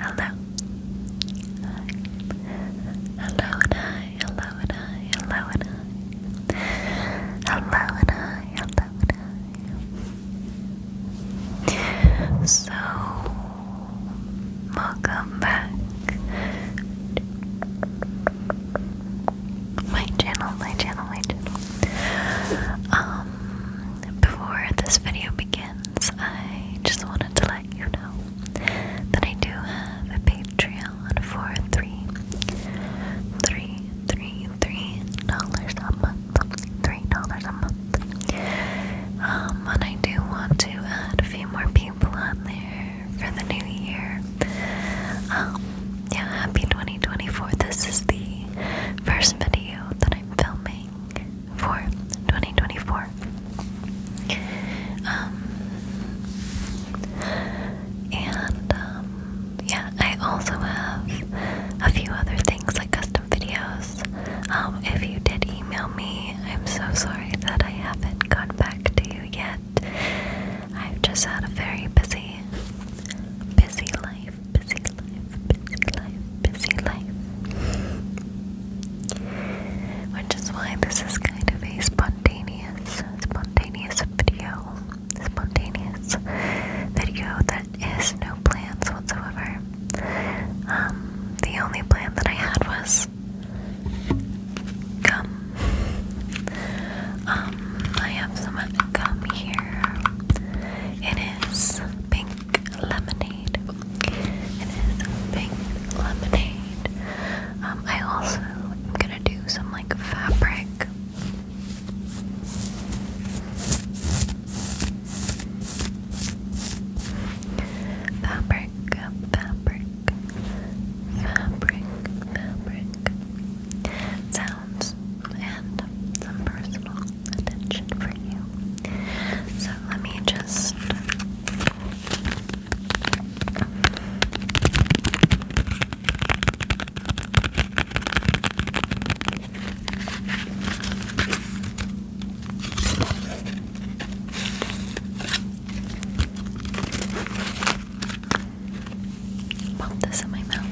Hello. Hello and I, hello and I, hello and I. Hello and I, hello and I. So, welcome back my channel, my channel, my channel. Um, before this video begins, I just wanted to let you know that I do have a Patreon for three, three, three, three dollars a month, three dollars a month. Um, and I do want to add a few more people on there for the new year. Um, yeah, happy 2024. This is the first video that I'm filming for 2024. Um, and um, yeah, I also have a few other things like custom videos. Um, if you did email me, I'm so sorry that I haven't gone back to you yet. I've just had a very busy, busy life busy life, busy life, busy life. Which is why this is kind of a spontaneous, spontaneous video. Spontaneous video that is no plans whatsoever. Um, the only plan that I had was come. Um, I have some gum here. It is pink lemonade. It is pink lemonade. Um, I also am gonna do some like fabric. Fabric, fabric, fabric, fabric sounds and some personal attention for you. So let me just Pop this in my mouth.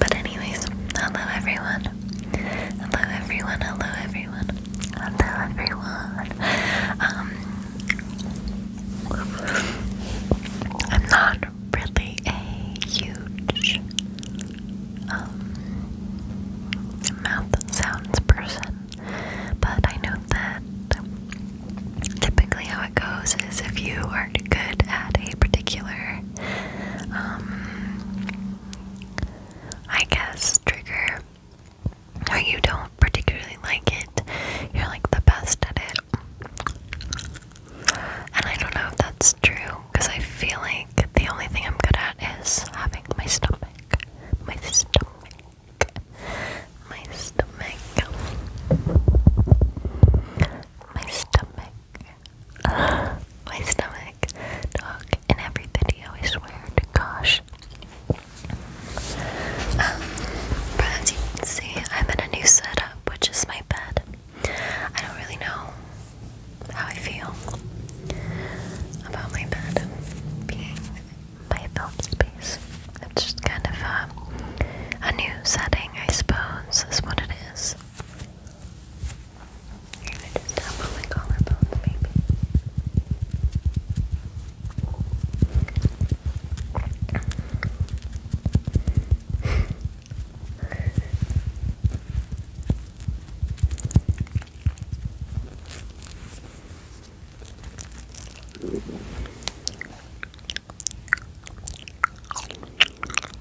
But anyways, hello everyone. Hello everyone, hello everyone, hello everyone. Um, I'm not really a huge um, mouth sounds person, but I know that typically how it goes is if you are good at a particular um, I guess, trigger or you don't particularly like it, you're like the best at it. And I don't know if that's true because I feel like the only thing I'm good at is having my stomach. My stomach. My stomach. My stomach my stomach dog in every video, I swear to gosh. Um, as you can see, I'm in a new setup, which is my bed. I don't really know how I feel about my bed being my film space. It's just kind of um, a new setting, I suppose, is what it is. I just tap on my collarbones, maybe.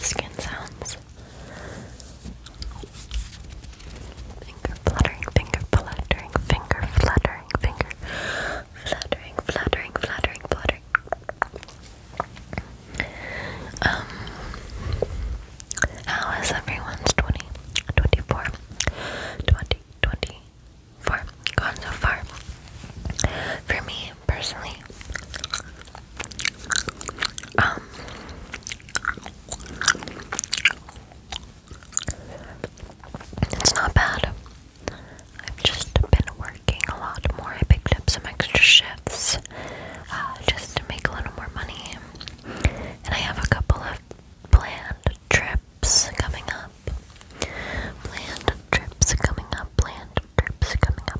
skin sounds. Finger fluttering, finger fluttering, finger fluttering, finger fluttering, fluttering, fluttering, fluttering. Um, how is everyone's 20, gone so far? For me, personally, um, it's not bad. I've just been working a lot more. I picked up some extra shifts uh, just to make a little more money. And I have a couple of planned trips coming up. Planned trips coming up. Planned trips coming up.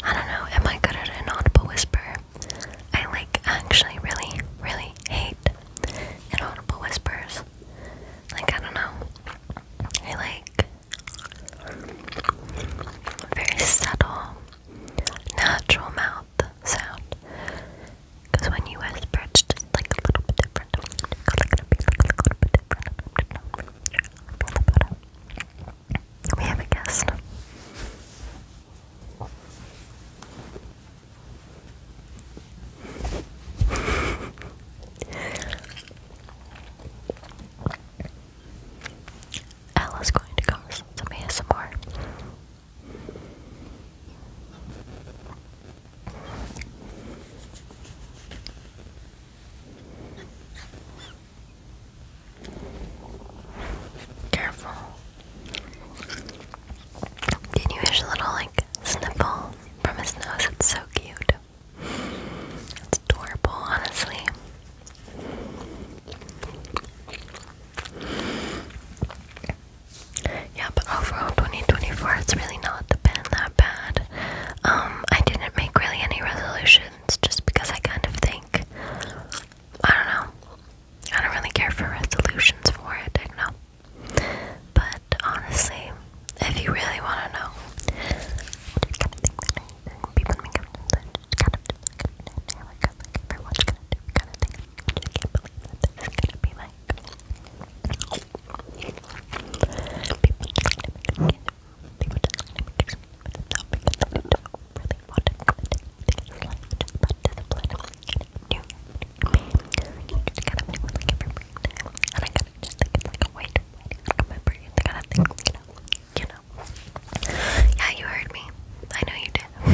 I don't know, am I good at an audible whisper? I like actually really, really hate inaudible whispers. Like, I don't know. I like very subtle, natural mouth the sound. Because when you whisper, it's like a little bit different. We have a guest. Ella's going to come listen to me some more. Careful. Did you hear a little like sniffle from his nose? It's so cute. It's adorable, honestly. Yeah, overall 2024 it's really not been that bad. Um, I didn't make really any resolutions just because I kind of think I don't know. I don't really care for resolutions for it, I But honestly, if you really want to know, kind of just like an America, like everyone's gonna do kind of thing. I can't believe that this is gonna be like people trying to make it, people just trying to make it, but it's not because they don't really want to commit to things like just about discipline. New, you just kind of do it like every brand, and I kind of just think it's like a way to, way to remember it, kind of thing, you know you know. Yeah, you heard me. I know you did.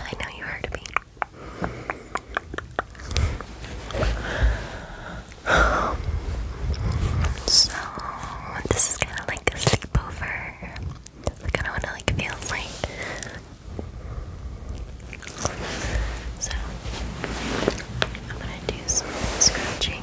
I know you heard me. So this is kind of like a sleepover. I don't want to like feel like. So I'm gonna do some scratching.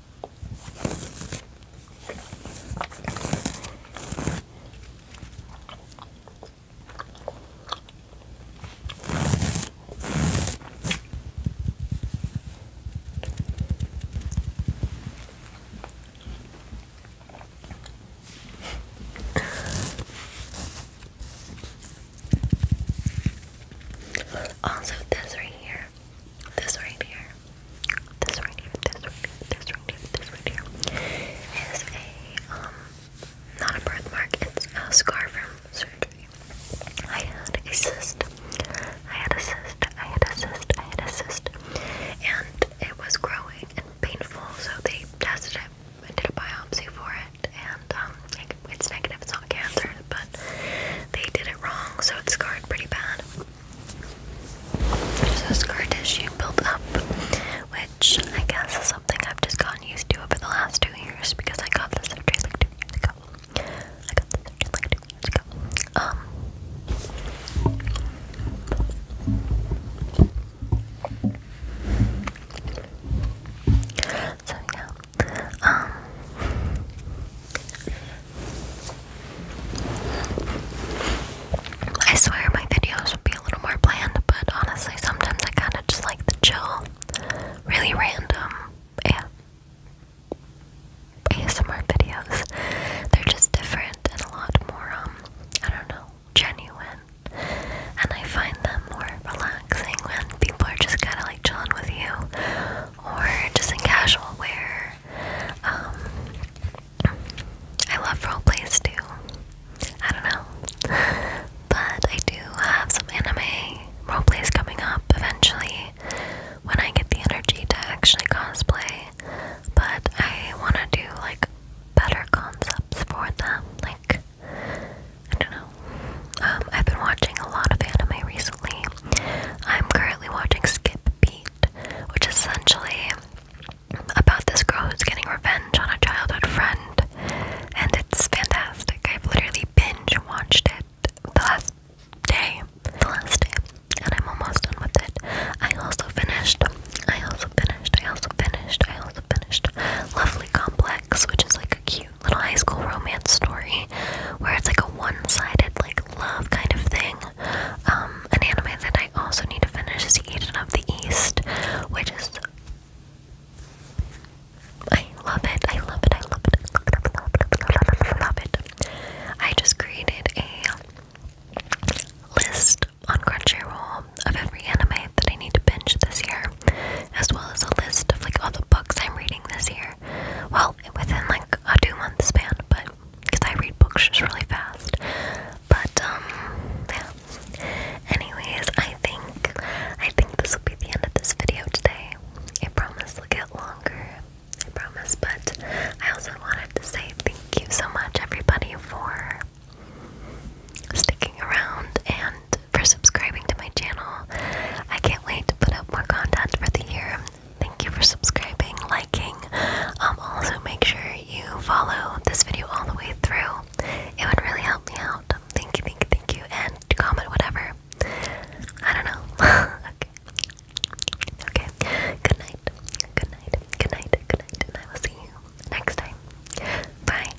also, this right here here, this right here, this right here, this right here, this right here, this right here, is a, um, not a birthmark, it's a scar from surgery. I had a cyst, I had a cyst, I had a cyst, I had a cyst, and it was growing and painful, so they tested it, I did a biopsy for it, and, um, it it's negative, it's not cancer, but they did it wrong, so it's scarred pretty bad. There's scar tissue built up, which I guess is something I've just gotten used to over the last two years because I got this surgery like two years ago. I got this surgery like two years ago. Um. So yeah, um, I swear my videos would be a little more planned, but honestly, sometimes I kind of just like the chill, really random yeah, ASMR videos. They're just different and a lot more, um, I don't know, genuine. And I find them more relaxing when people are just kind of like chilling with you or just in casual wear. Um, I love role plays too. I don't know. But I do have some anime role plays coming up eventually when I get the energy to actually cosplay. But I want to do like better concepts for them, like I don't know. Um, I've been watching a lot of anime recently. I'm currently watching Skip Beat, which is essentially about this girl who's getting revenge on a childhood friend, and it's fantastic. I've literally binge watched it the last day, the last day, and I'm almost done with it. I also finished, I also finished, I also finished, I also finished Lovely Complex, which is like a cute little high school romance story where it's like a one-sided like love kind of thing. Um, an anime that I also need to finish is Eden of the East, which I love it. I love it. I love it. I love it. I love it. I just created a list on Crunchyroll of every anime that I need to binge this year, as well as a list of like all the books I'm reading this year. Well, within like a two month span, but because I read books just really fast. But um, yeah. Anyways, I think I think this will be the end of this video today. I promise it'll get longer. I promise, but I also wanted to say thank you so much, everybody, for sticking around and for subscribing to my channel. I can't wait to put up more content for the year. Thank you for subscribing, liking. Um, also, make sure you follow this video all the way through. It would really help me out. Thank you, thank you, thank you. And comment whatever. I don't know. okay. Okay. Good night. Good night. Good night. Good night. And I will see you next time. Bye.